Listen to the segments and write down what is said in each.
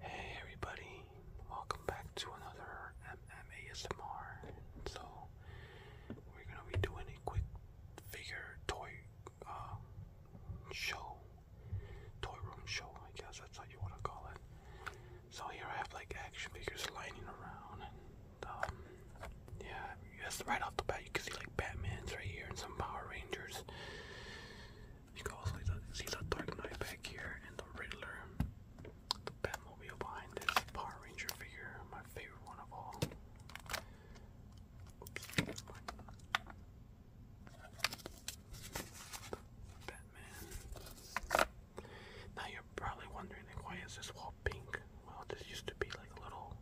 Hey everybody, welcome back to another MMASMR. So we're gonna be doing a quick figure toy uh, show, toy room show, I guess that's how you wanna call it. So here I have like action figures lining around, and um, yeah, Yes, right off the bat, you can see like Batman's right here and some Power Rangers. You can also see the Dark Knight back here and the Riddler. The Batmobile behind this Power Ranger figure, my favorite one of all. Batman. Now you're probably wondering, why is this all pink? Well, this used to be like a little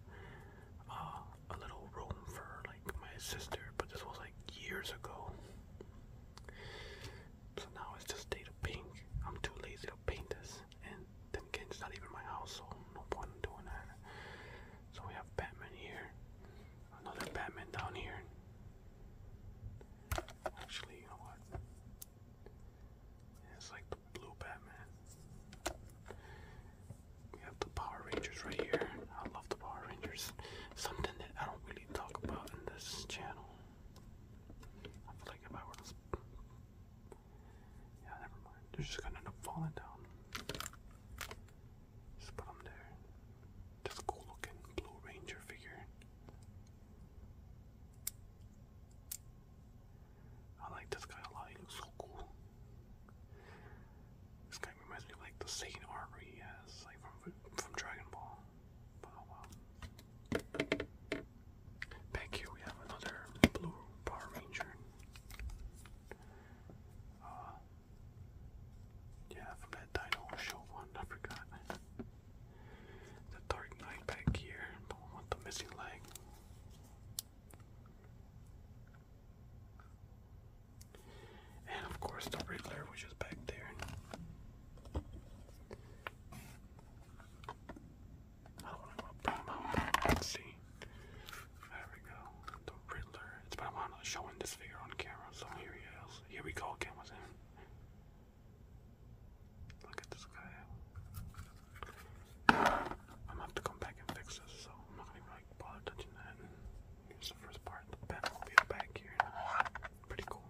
uh, a little room for like my sister, but this was like years ago. So now it's just data pink. I'm too lazy to paint this, and then again, it's not even my house, so no point in doing that. So we have Batman here, another Batman down here. Actually, you know what? it's like blue Batman we have the Power Rangers right here. I love the Power Rangers. Something that I don't really talk about in this channel. I feel like if I were to. Yeah, never mind. They're just gonna end up falling down. Just put them there. Just cool looking Blue Ranger figure. I like this guy a so cool. This guy reminds me like the Satan armor he has, like from from Dragon Ball. Oh, back here we have another blue Power Ranger. Uh, yeah, from that Dino Show one, I forgot. The Dark Knight back here, the the missing leg. And of course, the Riddler, which is back there. see. There we go. The Riddler. It's been a while not showing this figure on camera, so here he is. Here we go again with him. Look at this guy. I'm gonna have to come back and fix this, so like touching that. Here's the first part. The back here. Pretty cool.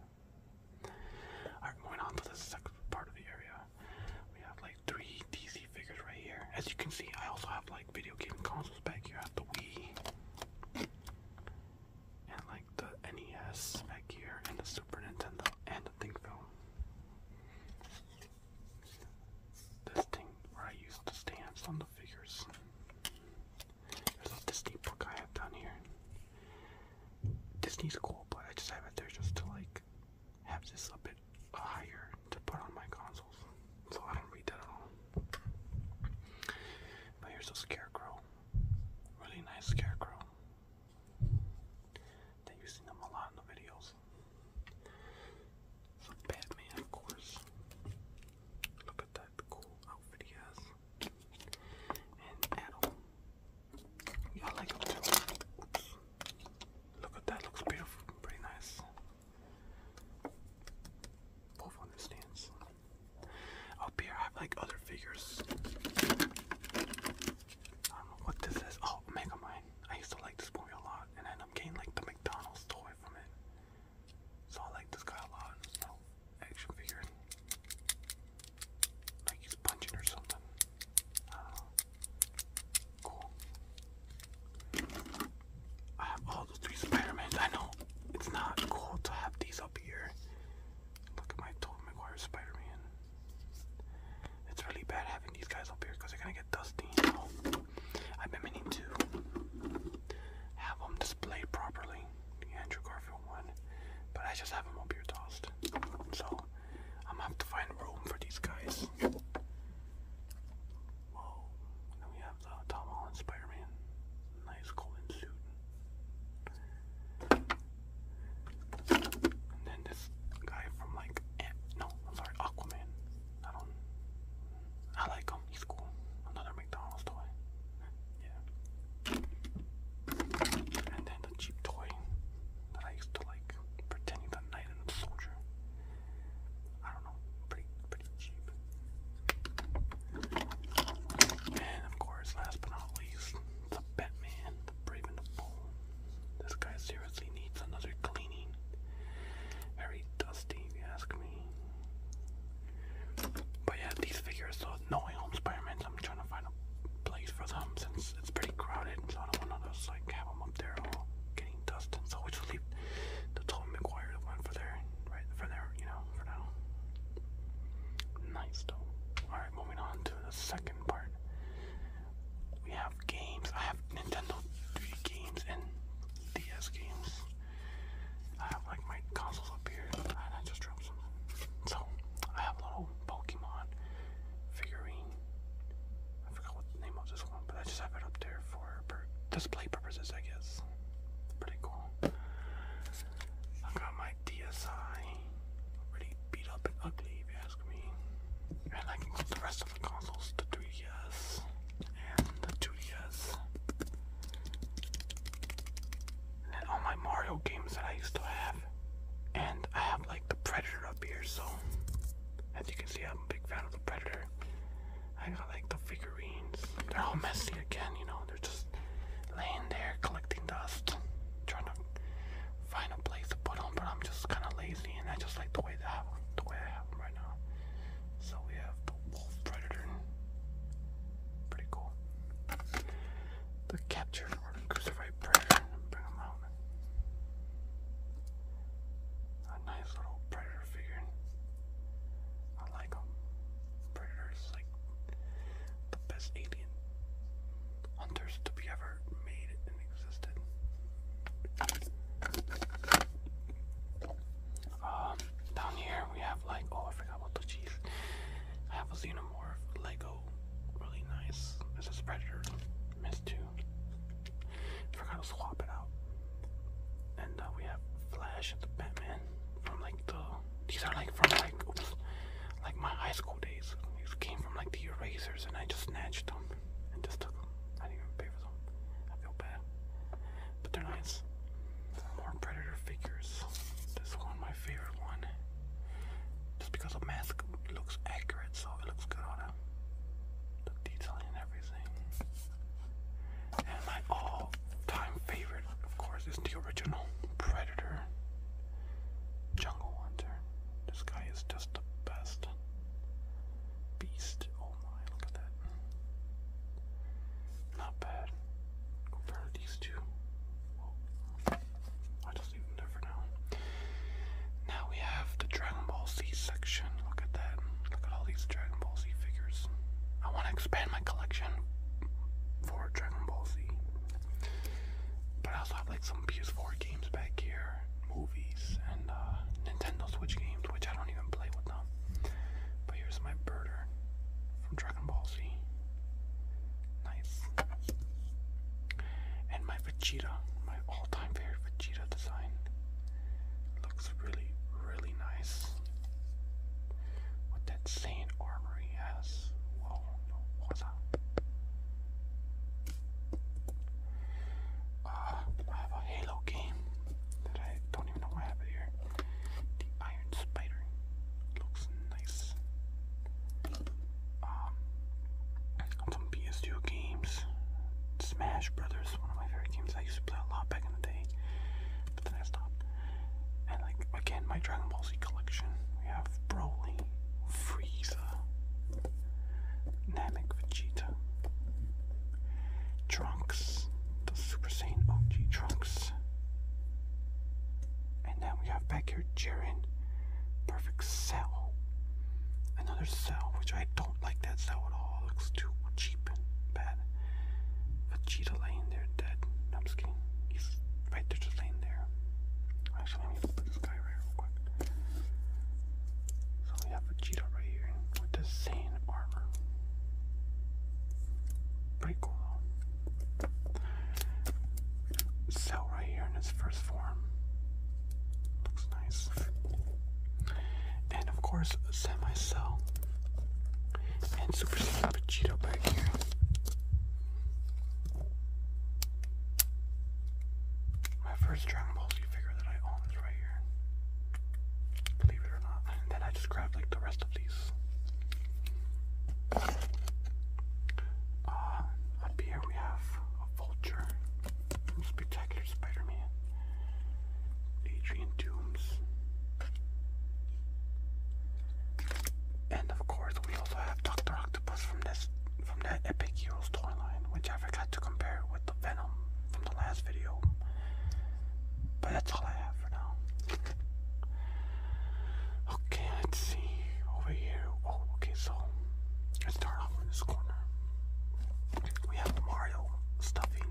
Alright, moving on to the second part of the area. We have like three DC figures right here. As you can see, I also have like video game consoles back here. I the Wii. And like the NES back here, and the Super Nintendo, and the Think Film this thing where I use the stamps on the figures. There's a Disney book I have down here. Disney's cool, but I just have it there just to like have this a bit higher to put on my consoles. So I don't read that at all. But here's a scarecrow. Really nice scarecrow. They're using them a lot in the videos. Batman, of course. Look at that cool outfit he has. And Adam. Yeah, I like him too. Look at that, looks beautiful. Pretty nice. Both on the stands. Up here I have like other figures. I don't know what this is. Oh, Mega Mine. I used to like this movie a lot, and then I'm getting like the McDonald's toy. So I like this guy a lot. action figure. Like he's punching or something. know. Uh, cool. I have all the three Spider-Mans. I know it's not cool to have these up here. Look at my Tobey Maguire Spider-Man. It's really bad having these guys up here because they're gonna get dusty. I've been meaning to have them displayed properly. Andrew Garfield one. But I just have them up here tossed. So I'm gonna have to find room for these guys. Whoa. then we have the Tom Holland Spider Man. Nice golden suit. And then this guy from like. no, sorry, Aquaman. I don't. I like him. He's cool. Another McDonald's toy. Yeah. And then the cheap toy that I used to like, pretending the knight and the soldier. I don't know. Pretty, pretty cheap. And of course, last but not least, the Batman, Brave and Bold. This guy seriously needs another cleaning. Very dusty, you ask me. But yeah, these figures, so No Home spider I'm trying to find a place for them since it's pretty crowded, so I don't want to just like have them up there all getting dusted. So we just the Tobey Maguire one for there, right? For there, you know, for now. Nice though. Alright, moving on to the second part. We have games. I have Nintendo 3 games and DS games. I have like my consoles up here, and I just dropped something. So I have little Pokemon figurine. I forgot what the name of this one, but I just have it up there for display purposes, I guess. Pretty cool. I got my DSi, pretty beat up and ugly if you ask me. And I can put the rest of the consoles, the 3 Tortillas and the Tortillas. And all my Mario games that I used to have. And I have like the Predator up here, so as you can see, I'm a big fan of the Predator. I got like the figurines. They're all messy again, you know, they're just laying there collecting dust, trying to find a place to put them, but I'm just kind of lazy and I just like the way, that, the way I have them right now. So we have the wolf predator. Pretty cool. The captured or the crucified predator. Bring them out. A nice little predator figure. I like them. Predator like the best alien hunters to be ever made and existed. Um, down here we have like oh I forgot about the cheese. I have a xenomorph Lego, really nice. This is Predator, Miss Two. Forgot to swap it out. And uh, we have Flash and the Batman from like the these are like from like oops, like my high school days. These came from like the erasers, and I just snatched them them just took them. I didn't even pay for them. I feel bad. But they're nice. More Predator figures. This one, my favorite one. Just because the mask looks accurate, so it looks good on it. The detailing and everything. And my all-time favorite, of course, is the original Predator Jungle Hunter. This guy is just the best beast. Oh my, look at that. Not bad compared these two. i just leave them there now. we have the Dragon Ball Z section. Look at that. Look at all these Dragon Ball Z figures. I want to expand my collection for Dragon Ball Z. But I also have like some PS4 games back here, movies, and uh, Nintendo Switch games, which I don't even play with them. But here's my birder from Dragon Ball Z. Nice. And my Vegeta, my all-time favorite Vegeta design. Looks really, really nice. With that same armor he has. Whoa, what's up? Uh, I have a Halo game that I don't even know I have here. The Iron Spider looks nice. Um, some PS2 games, Smash Brothers, one of my favorite games. I used to play a lot back in the day, but then I stopped. And like again, my Dragon Ball Z collection. We have Broly, Frieza, Namek, Vegeta. Trunks, the Super Saiyan OG Trunks. And then we have back here Jiren, Perfect Cell. Another Cell, which I don't like that Cell at all. looks too cheap and bad. Vegeta laying there dead. I'm just kidding. right there just laying there. Actually, let me look this guy right real quick. So we have Vegeta right here with the Saiyan armor. Pretty cool Cell right here in his first form. Looks nice. And of course, Semi Cell. And Super Saiyan Vegeta back here. My first Dragon Ball Z figure that I own is right here. Believe it or not. And then I just grabbed like the rest of these. Uh, up here we have a vulture from Spectacular Spider-Man. Adrian Dooms. And of course we also have Doctor Octopus from this from that Epic Heroes toy line, which I forgot to compare with the Venom from the last video. But that's all I have for now. Okay, let's see. Over here. Oh, okay, so let's start off in this corner. We have Mario stuffing.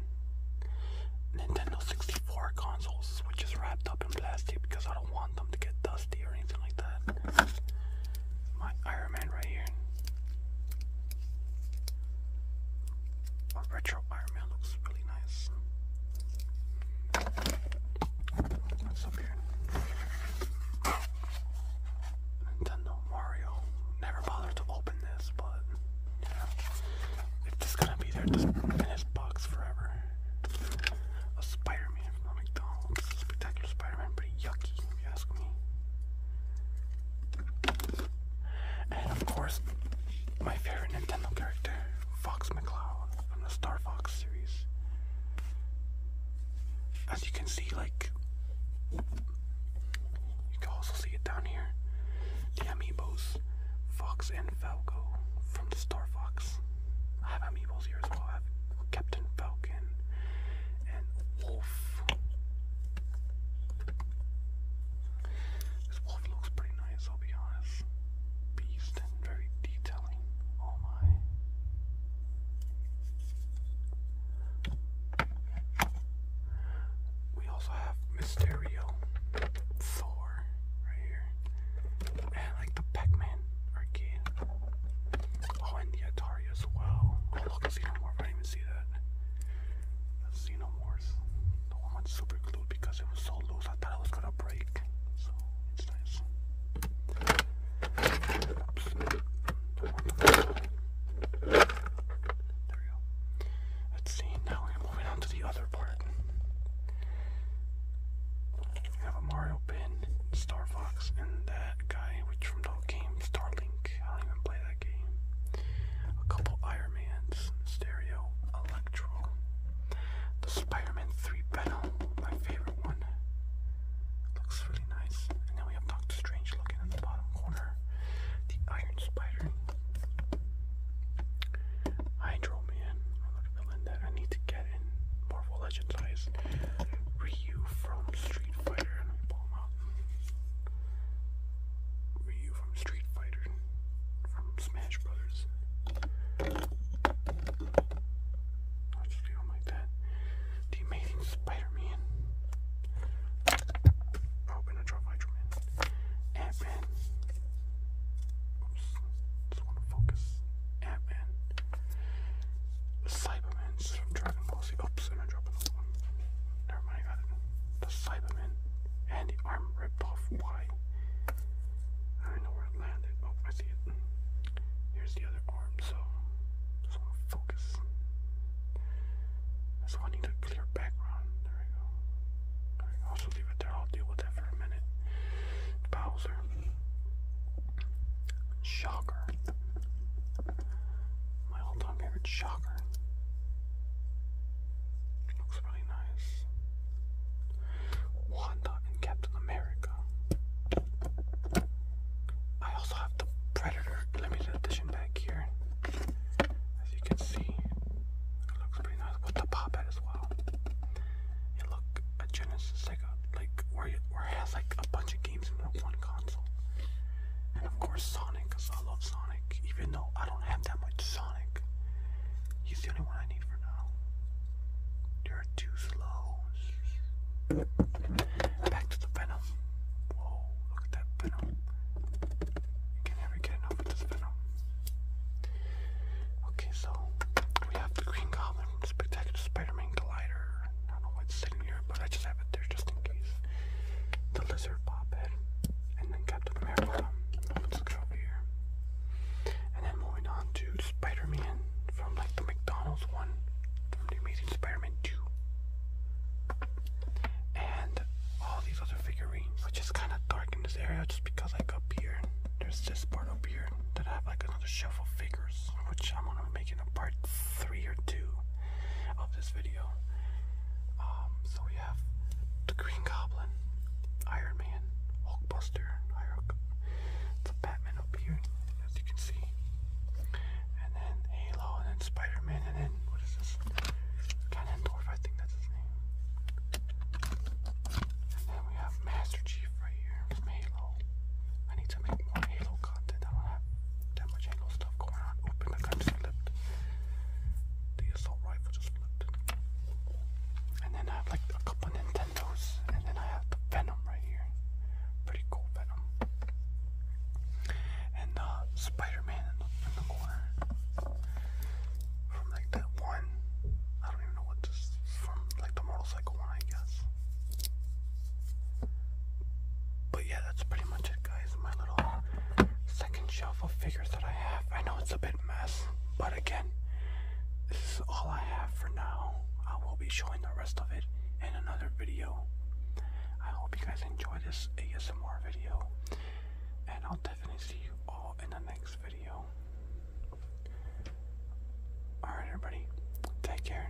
Nintendo 64 consoles, which is wrapped up in plastic because I don't want them to get dusty or anything like that. My Iron Man right here. A retro Iron Man looks really nice. What's up here? Nintendo Mario. Never bothered to open this, but yeah. It's just gonna be there just in his box forever. A Spider-Man from McDonald's. Spectacular Spider-Man, pretty yucky if you ask me. And of course, my favorite Nintendo character, Fox McCloud from the Star Fox series. As you can see, like, you can also see it down here. The amiibos, Fox and Falco from the Star Fox. I have amiibos here as well. I have Captain Falcon and Wolf. This wolf looks pretty nice, I'll be honest. Beast and very detailing. Oh my. We also have Mysterio, Thor, right here, and like the Pac-Man arcade. Oh, and the Atari as well. Oh look, it's even more. I didn't even see that. Xenomorph. The one with super glue because it was so loose, I thought it was gonna break. So it's nice. There we go. Let's see. Now we're moving on to the other part. We have a Mario pin, Star Fox, and that guy, which from the game Starlink. I don't even play a couple Iron Man's stereo electro. The Spider-Man 3 Venom, my favorite one. Looks really nice. And then we have Doctor Strange looking in the bottom corner. The Iron Spider. Hydro Man. I villain that I need to get in Marvel Legends Eyes. Ryu from Street Fighter. Let me pull him out. Ryu from Street Fighter, from Smash Brothers. I'll like that. The Amazing Spider-Man. Oh, Benadryl Hydro-Man. Ant-Man. just want to focus. Ant-Man. Cyberman policy. Oops, oh, am dropping the one? Never mind, got it. The Cyberman and the arm ripped off. Why? I know where it landed. Oh, I see it. Here's the other arm, so focus. That's why I need a clear background. There we go. There leave it there. I'll deal with that for a minute. Bowser. Shocker my all-time favorite shocker. Looks really nice. Wanda and Captain America. I also have the Predator limited edition back here. As you can see, it looks pretty nice with the pop as well. It look a Genesis Sega, like where where it has like a bunch of games in one console. And of course Sonic, I love Sonic even though I don't have that much Sonic. He's the only one I need for now. You're too slow. Back to the Venom. Whoa, look at that Venom. You can never get enough of this Venom. Okay, so we have the Green Goblin Spectacular Spider-Man Glider. I don't know what's sitting here, but I just have it there just in case. The Lizard Bob and then Captain America. Um, let's go over here. And then moving on to Spider-Man from like the McDonald's one from the Amazing Spider-Man 2. And all these other figurines, which is kind of dark in this area just because like up here, there's this part up here that I have like another shelf of figures, which I'm gonna be making a part 3 or 2 of this video. Um, so we have the Green Goblin, Iron Man, Hulkbuster, the Batman up here, as you can see, and then Halo, and then Spider and then what is this? Ganondorf, I think that's his name. And then we have Master Chief right here from Halo. I need to make more Halo content. I don't that much angle stuff going on. Open the gun slipped. The assault rifle just flipped. And then I have like a couple Nintendos. And then I have Venom right here. Pretty cool Venom. And Spider-Man in the, in From like that one. I don't even know what this from. Like the motorcycle one, I guess. But yeah, that's pretty much it, guys my little second shelf of figures that I have. I know it's a bit mess, but again, this is all I have for now. I will be showing the rest of it in another video. I hope you guys enjoy this ASMR video, and I'll definitely see you all in the next video. Alright, everybody, take care.